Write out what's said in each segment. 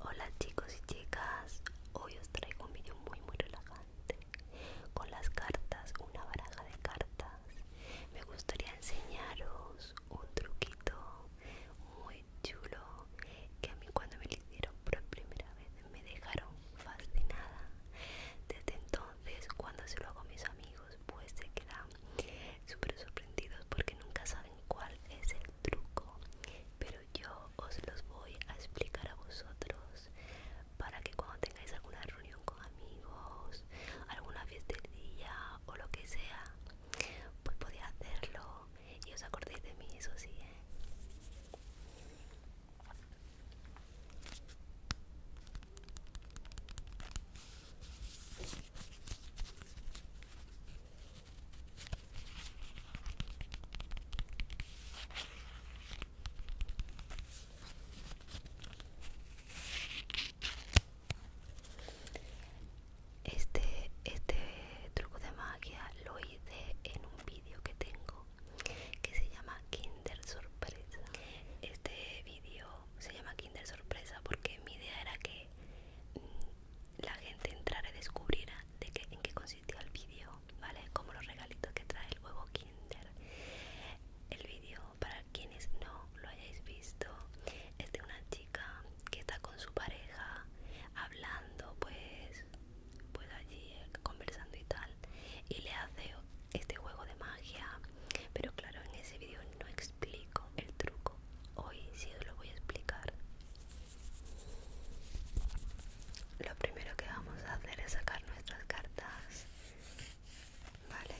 Hola chicos y chicas, hoy os traigo un vídeo muy muy relajante con las cartas, una baraja de cartas. Me gustaría enseñaros un truquito muy chulo que a mí cuando me lo hicieron por primera vez me dejaron fascinada desde entonces cuando se lo hago a mis amigos pues se quedan súper sorprendidos porque nunca saben cuál es el truco pero yo os los voy a explicar a vosotros para que cuando tengáis alguna reunión con amigos alguna fiesta del día o lo que sea pues podía hacerlo y os acordéis de mí, eso sí, ¿eh? Este, este truco de magia lo hice en un vídeo que tengo que se llama Kinder Sorpresa. Este vídeo se llama Kinder Sorpresa porque mi idea era que mm, la gente entrara y descubriera de qué, en qué consistía el vídeo, ¿vale? Como los regalitos que trae el huevo Kinder. El vídeo, para quienes no lo hayáis visto, es de una chica que está con su pareja hablando pues pues allí eh, conversando y tal y le hace este juego de magia pero claro en ese vídeo no explico el truco hoy sí os lo voy a explicar lo primero que vamos a hacer es sacar nuestras cartas vale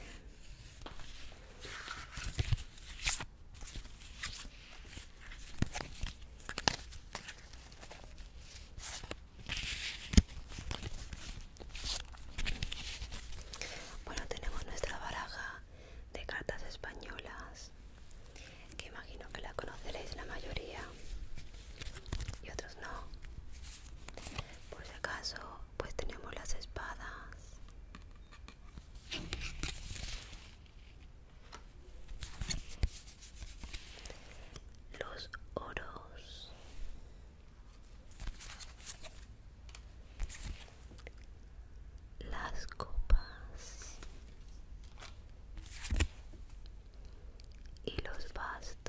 bueno, tenemos nuestra baraja de cartas españolas, que imagino que la conoceréis la mayoría y otros no. Por si acaso, pues tenemos las espadas, los oros. Las copas. Y los bastos.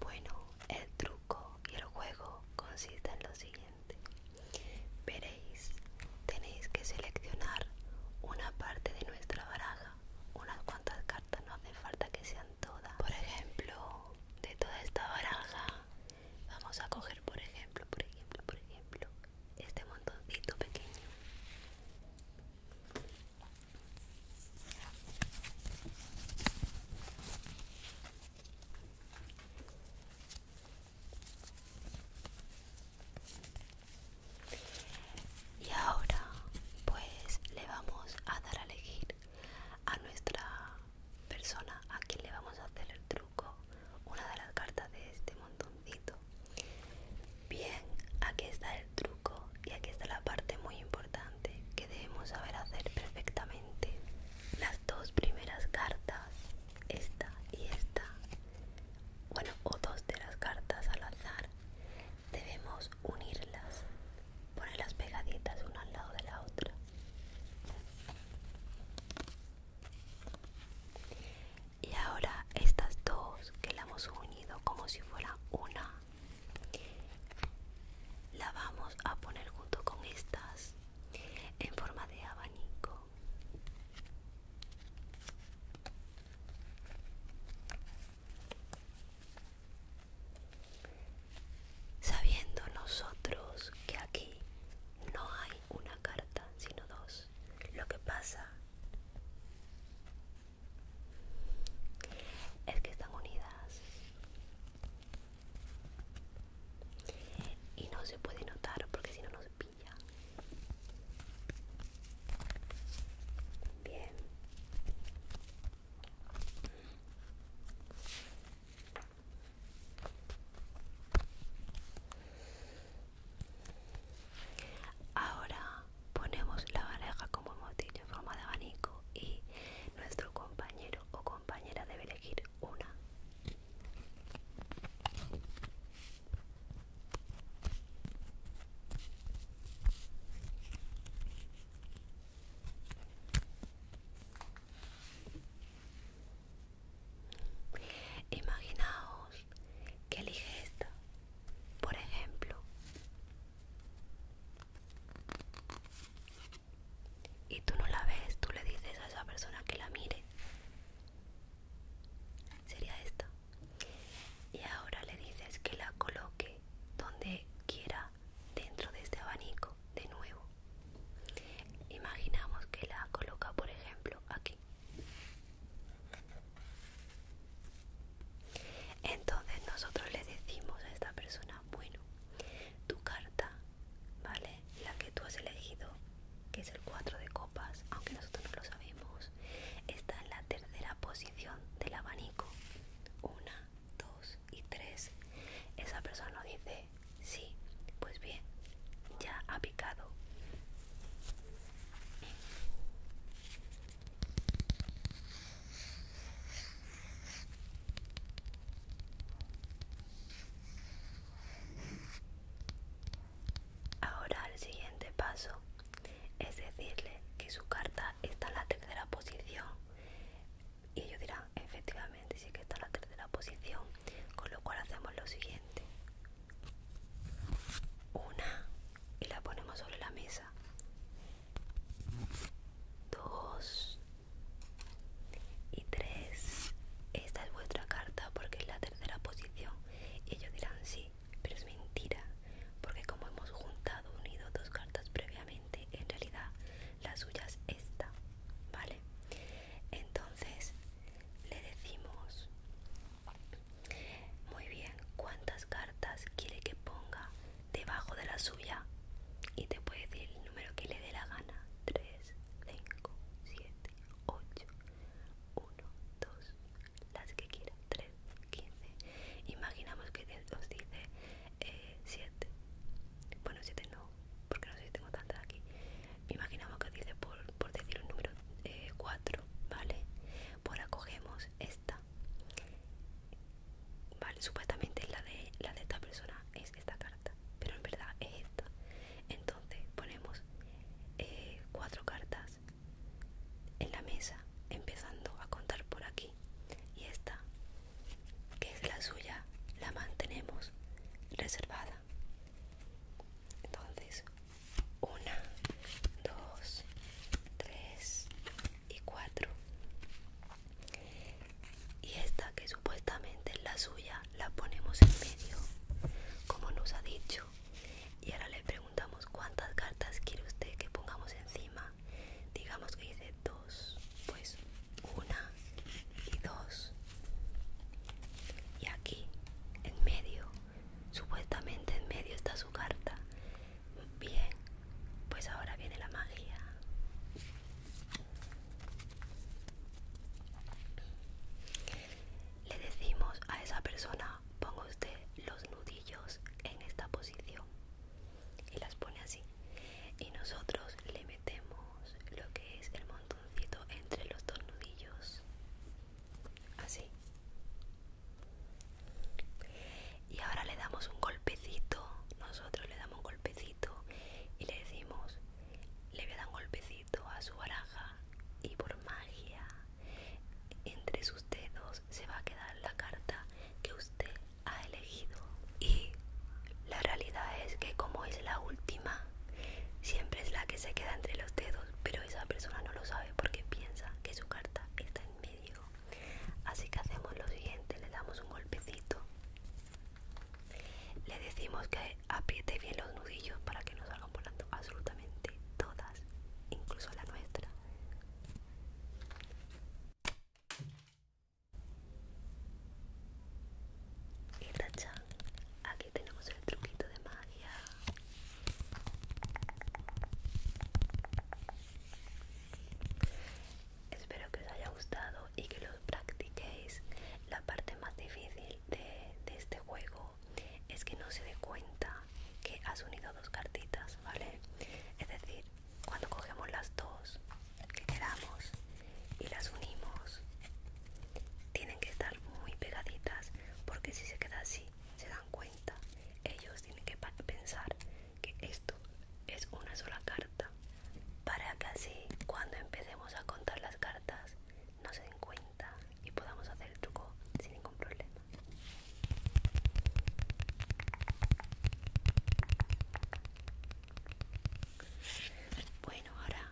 Bueno, el truco y el juego consiste en lo siguiente. Veréis, tenéis que seleccionar una parte de nuestra baraja, unas cuantas cartas, no hace falta que sean todas. Por ejemplo, de toda esta baraja, vamos a coger, por ejemplo, por ejemplo, por ejemplo, este montoncito pequeño. Y ahora pues le vamos a dar a elegir a nuestra persona a quien le vamos a hacer el truco, una de las cartas de este montoncito. Bien, aquí está el truco y aquí está la parte muy importante que debemos saber hacer perfectamente. Las dos primeras cartas esta y esta, bueno, o dos de las cartas al azar, debemos unirlas, ponerlas pegaditas una al lado de la otra. Y ahora estas dos que la hemos unido como si fuera una, la vamos a poner junto con estas en forma de abanico Sabiendo nosotros que aquí no hay una carta, sino dos. Lo que pasa es que están unidas y no se puede notar porque si no, no se bien ahora ponemos la baraja como hemos dicho en forma de abanico y nuestro compañero o compañera debe elegir una Imaginaos que eliges esta, por ejemplo, y tú no la ves, tú le dices a esa persona que la mire sería esta y ahora le dices que la coloque donde quiera dentro de este abanico de nuevo imaginamos que la coloca por ejemplo aquí entonces nosotros le decimos a esta persona bueno tu carta vale la que tú has elegido, que es el 4 de copas, aunque nosotros no lo sabemos, está en la tercera posición del abanico. Una, dos y tres. Esa persona nos dice, sí, pues bien, ya ha picado. Ahora el siguiente paso es decirle que su carta está en la tercera posición y ellos dirán efectivamente sí que está en la tercera posición, con lo cual hacemos lo siguiente. Una y la ponemos sobre la mesa. Dos y tres. Esta es vuestra carta porque es la de la posición. ellos dirán sí, pero es mentira, porque como hemos juntado, unido dos cartas previamente, en realidad la suya es esta, ¿vale? Entonces le decimos, muy bien, ¿cuántas cartas quiere que ponga debajo de la suya? Y te puede decir el número que le dé la gana, 3, 5, 7, 8, 1, 2, las que quieran, 3, 15. Imaginamos que os dice 7. Eh, bueno, 7 no, porque no sé si tengo tantas aquí. Imaginamos que os dice por, por decir un número 4, eh, ¿vale? Pues acogemos esta. Vale, supuestamente la de, la de esta persona es esta carta, pero en verdad es entonces ponemos eh, cuatro cartas en la mesa empezando a contar por aquí y esta que es la suya la mantenemos reservada entonces una dos tres y cuatro y esta que supuestamente es la suya la ponemos en medio, como nos ha dicho. Y ahora le preguntamos cuántas cartas quiere usted que pongamos encima. Digamos que dice dos, pues una y dos. Y aquí, en medio, supuestamente en medio está su carta. Bien, pues ahora viene la magia. Le decimos a esa persona, ponga usted los nudillos en esta posición. Y las pone así. Y nosotros le metemos lo que es el montoncito entre los dos nudillos. Así. Y ahora le damos un golpecito. Nosotros le damos un golpecito y le decimos, le voy a dar un golpecito a su baraja y por magia entre sus dedos se va a quedar la carta que usted ha elegido. Y la realidad es que como es la última, siempre es la que se queda entre los dedos, pero esa persona no lo sabe porque piensa que su carta está en medio. Así que hacemos lo siguiente, le damos un golpecito. Le decimos que apriete bien los nudillos para que no salgan por la absolutamente todas, incluso la nuestra. Y tachan aquí tenemos el truquito de magia. Espero que os haya gustado y que lo practiquéis. La parte más difícil de este juego es que no se dé cuenta que has unido dos cartitas, ¿vale? Es decir, cuando cogemos las dos que quedamos y las unimos, tienen que estar muy pegaditas porque si se queda así, se dan cuenta. Ellos tienen que pensar que esto es una sola carta para que así cuando empecemos a contar las cartas no se den cuenta y podamos hacer el truco sin ningún problema. Bueno, ahora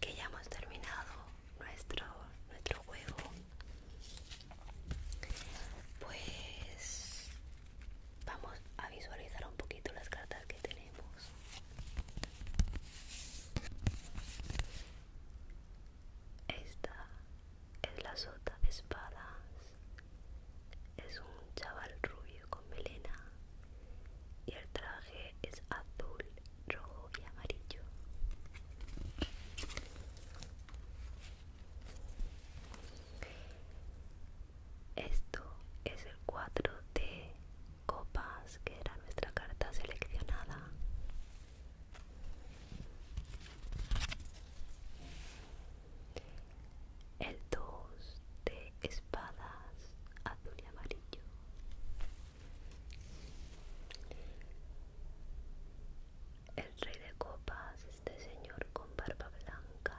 que ya hemos terminado nuestro, nuestro juego, pues vamos a visualizar un poquito las cartas que tenemos. Esta es la sota de espadas. Es un chaval rubio con melena y el traje es azul, rojo y amarillo. Esto es el 4 de copas que era nuestra carta seleccionada el 2 de espadas azul y amarillo el rey de copas este señor con barba blanca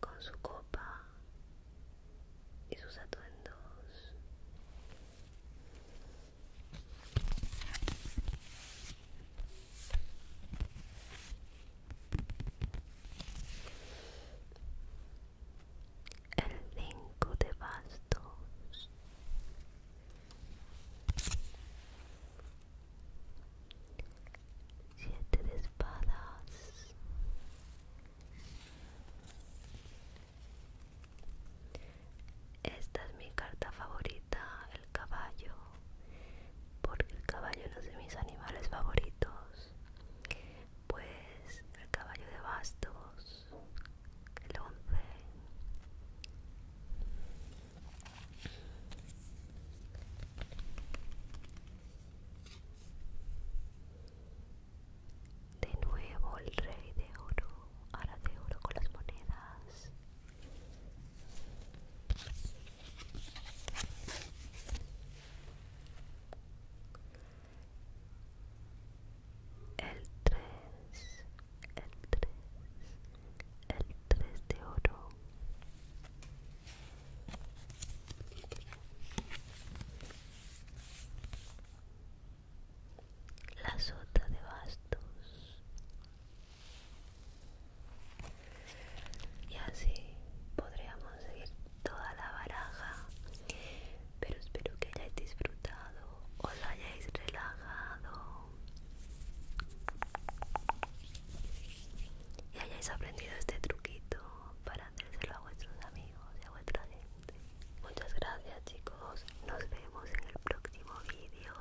con su copa y sus atuendos el 5 de bastos 7 de espadas esta es mi carta favorita, el caballo, porque el caballo es uno de mis animales favoritos. Pues el caballo de bastos, el once. De nuevo el rey de oro, ahora de oro con las monedas. El 3, el 3, el 3 de oro la sota de bastos y así podríamos seguir toda la baraja pero espero que hayáis disfrutado os hayáis relajado y hayáis aprendido este truquito para hacerlo a vuestros amigos y a vuestra gente. Muchas gracias chicos, nos vemos en el próximo vídeo.